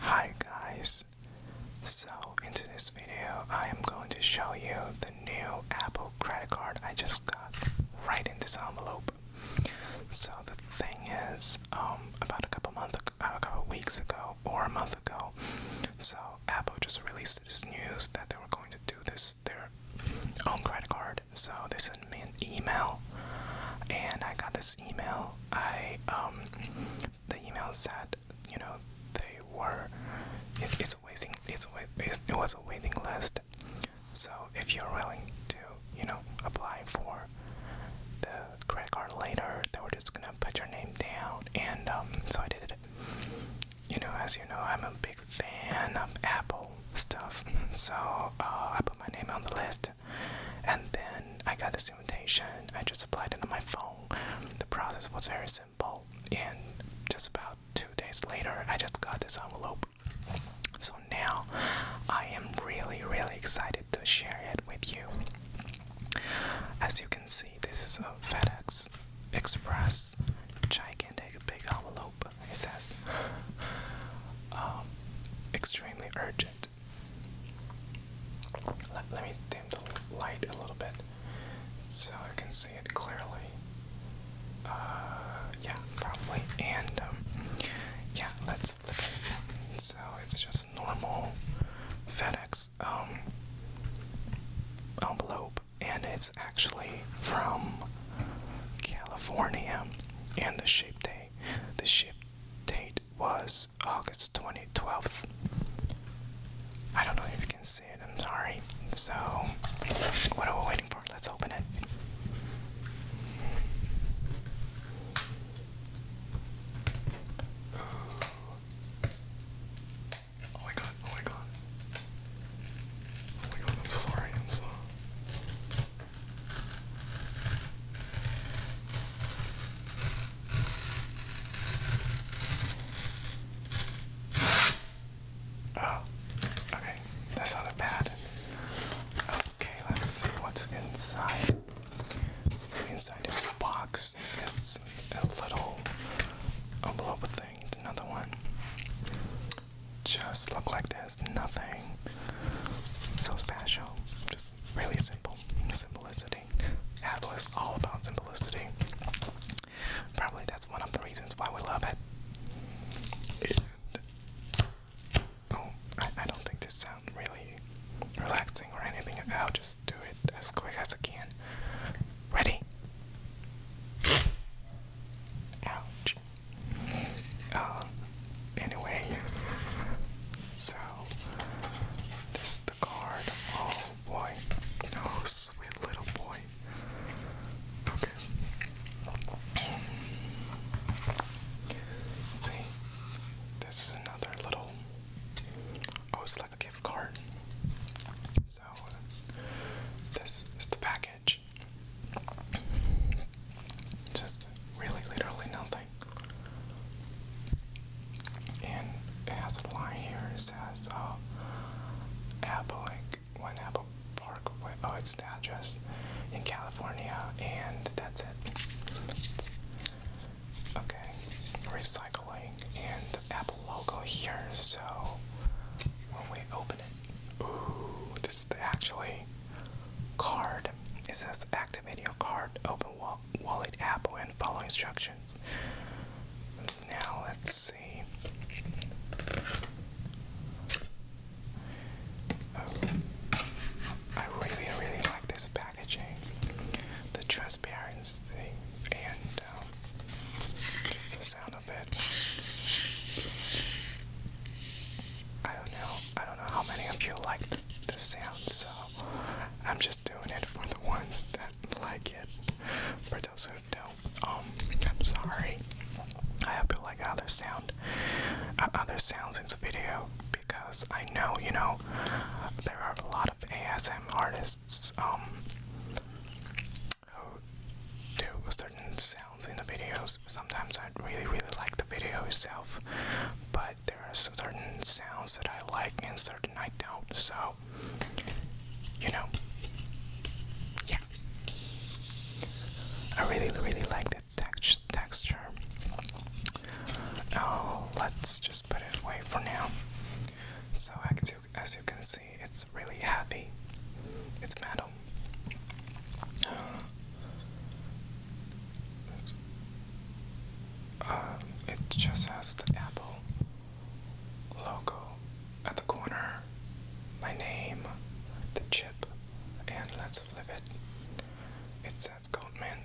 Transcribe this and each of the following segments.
Hi guys! So in today's video I am going to show you the new Apple credit card I just got right in this envelope. So the thing is um, about a couple months uh, a couple weeks ago or a month ago so Apple just released this news that they were going to do this their own credit card. So they sent me an email, and I got this email. I um, the email said, you know, they were it, it's a waiting it's a wait, it was a waiting list. So if you're willing to, you know, apply for the credit card later, they were just gonna put your name down. And um, so I did it you know, as you know, I'm a big fan of Apple stuff, so uh, I put my name on the list, and then I got this invitation. I just applied it on my phone. The process was very simple, and just about two days later, I just got this envelope. So now, I am really, really excited to share it with you. As you can see, this is a FedEx Express Chai take a big envelope, it says. Um, extremely urgent. Let, me dim the light a little bit so I can see it clearly. Uh, yeah, probably. And um, yeah, let's look at it. So it's just normal FedEx um, envelope and it's actually from California. And the ship date, the ship date was August 2012. I don't know if you can see it. I'm sorry. So, what are we waiting for? Let's open it. Oh my god, oh my god. Oh my god, I'm sorry, I'm sorry. Oh, okay. That's not a bad. Okay, let's see what's inside. So inside is box. It's a little envelope with another one. Just look like there's Nothing so special. Just really simple. Simplicity. Apple is all about simplicity. Probably that's one of the reasons why we love it. Oh, I, don't think this sounds really relaxing or anything. I'll just do as quick as I can. Ready? Ouch. Um, anyway, so this is the card. Oh boy. Oh, sweet little boy. Okay. see, this is another little. Oh, it's a gift card. So, this is the package. Just really, literally nothing. And it has a line here. It says, uh, Apple Inc. When Apple Park. oh, it's the address in California, and that's it. Okay, recycling and the Apple logo here. So when we open it, ooh, this is actually card. It says activate your card, open wallet Apple, and follow instructions. Now let's see. Oh, I really, really like this package the transparency, and um, the sound of it. I don't know. I don't know how many of you like the, sound, so I'm just doing it for the ones that like it. For those who don't, um, I'm sorry. I hope you like other sound, uh, other sounds in the video because I know you know there are a lot of ASM artists um, who do certain sounds in the videos. Sometimes I really, really like the video itself, but there are certain sounds that I like and certain I don't. So, you know, yeah. I really, really like the text texture Oh, let's just put it away for now. So as you, can see, it's really heavy. It's metal. Uh, it just has the Apple logo at the corner, my name, the chip, and let's flip it. It says Goldman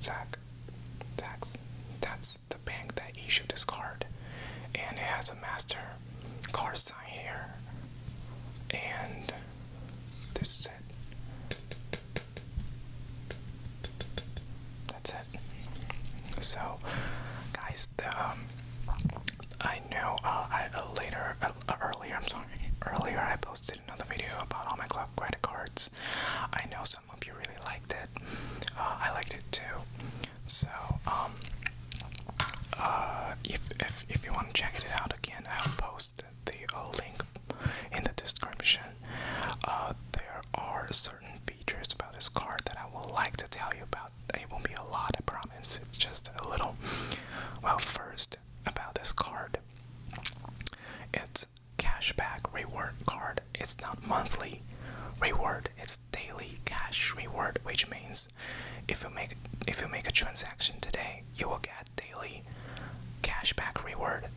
Zach that's that's the bank that issued this card, and it has a master card sign here, and this is it. That's it. So, guys, the, um, I know uh, I uh, later, uh, earlier, I'm sorry earlier, I posted another video about all my club credit cards. I know some of you really liked it. Uh, I liked it too. So, um, uh, if, if, if you want to check it out again, I'll post the uh, link in the description. there are certain features about this card that I would like to tell you about. It won't be a lot, I promise. It's just a little. Well, first, about this card. It's cashback reward card it's not monthly reward it's daily cash reward which means if you make if you make a transaction today you will get daily cashback reward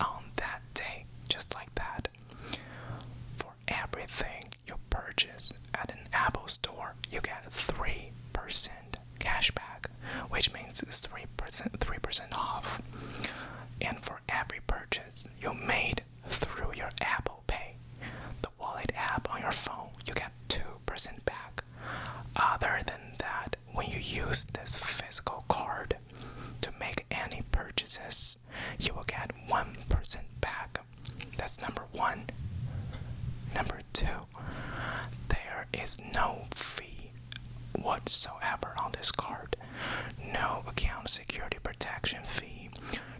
on that day just like that for everything you purchase at an apple store you get 3% cashback, which means 3%, 3% off. And for every purchase you made through your Apple Pay, the wallet app on your phone, you get 2% back. Other than that, when you use this physical card to make any purchases, you will get 1% back. That's number one. Number two, there is no fee whatsoever on this card. No account security protection fee,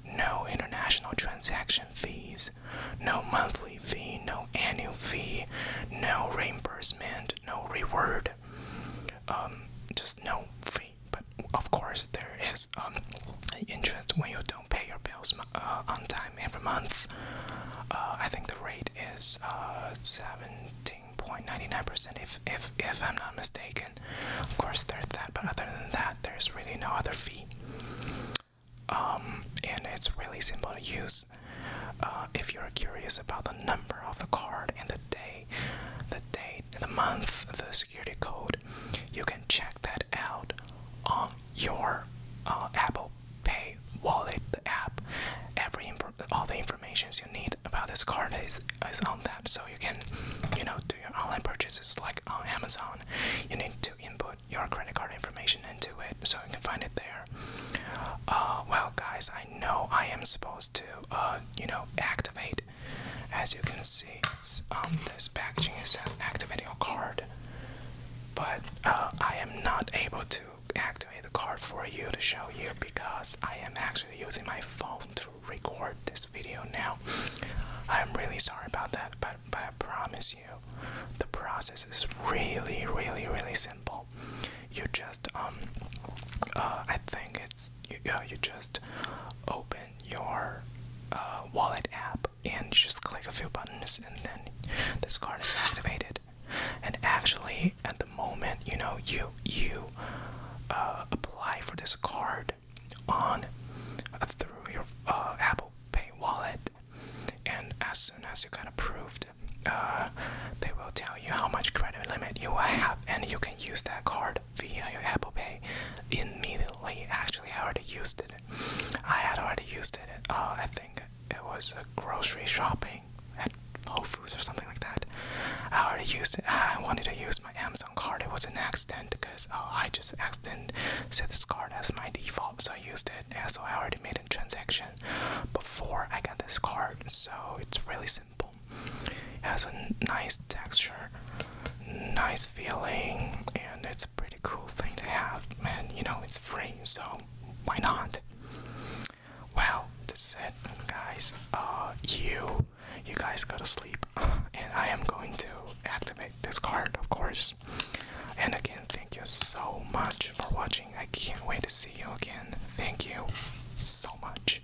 no international transaction fees, no monthly fee, no annual fee, no reimbursement, no reward. Um, just no fee. But of course, there is um, interest when you don't pay your bills uh, on time every month. Uh, I think the rate is uh, 17.99%, if, if, if I'm not mistaken. Of course, there's that, but other than that, there's really no other fee. Um, and it's really simple to use. Uh, if you're curious about the number of the card and the day, the date, the month, the security code, you can check that out on your uh, Apple Pay wallet, app, every all the informations you need about this card is, is on that. So you can, you know, do your online purchases like on Amazon. You need to input your credit card information into it, so you can find it there. Uh, well, guys, I know I am supposed to, uh, you know, activate. As you can see, it's on um, this packaging. It says activate your card, but uh, I am not able to activate the card for you to show you because I am actually using my phone to record this video now. I'm really sorry about that, but but I promise you, the process is really, really, really simple. You just um, uh, I think it's you, uh, you just open your uh, wallet app and you just click a few buttons and then this card is activated and actually at the moment you know you you uh, apply for this card on uh, through your uh, Apple Pay wallet and as soon as you got approved they will tell you how much credit limit you will have and you can use that card via your Apple Pay immediately actually I already used it I had already used it uh, I think it was a grocery shopping at Whole Foods or something like that. I already used it. I wanted to use my Amazon card. It was an accident because uh, I just accident set this card as my default, so I used it. And so I already made a transaction before I got this card. So it's really simple. It has a nice texture, nice feeling, and it's pretty cool thing to have, man. you know, it's free, so why not? Well, that's it, guys. Uh, you, you guys go to sleep, and I am going to activate this card, of course. And again, thank you so much for watching. I can't wait to see you again. Thank you so much.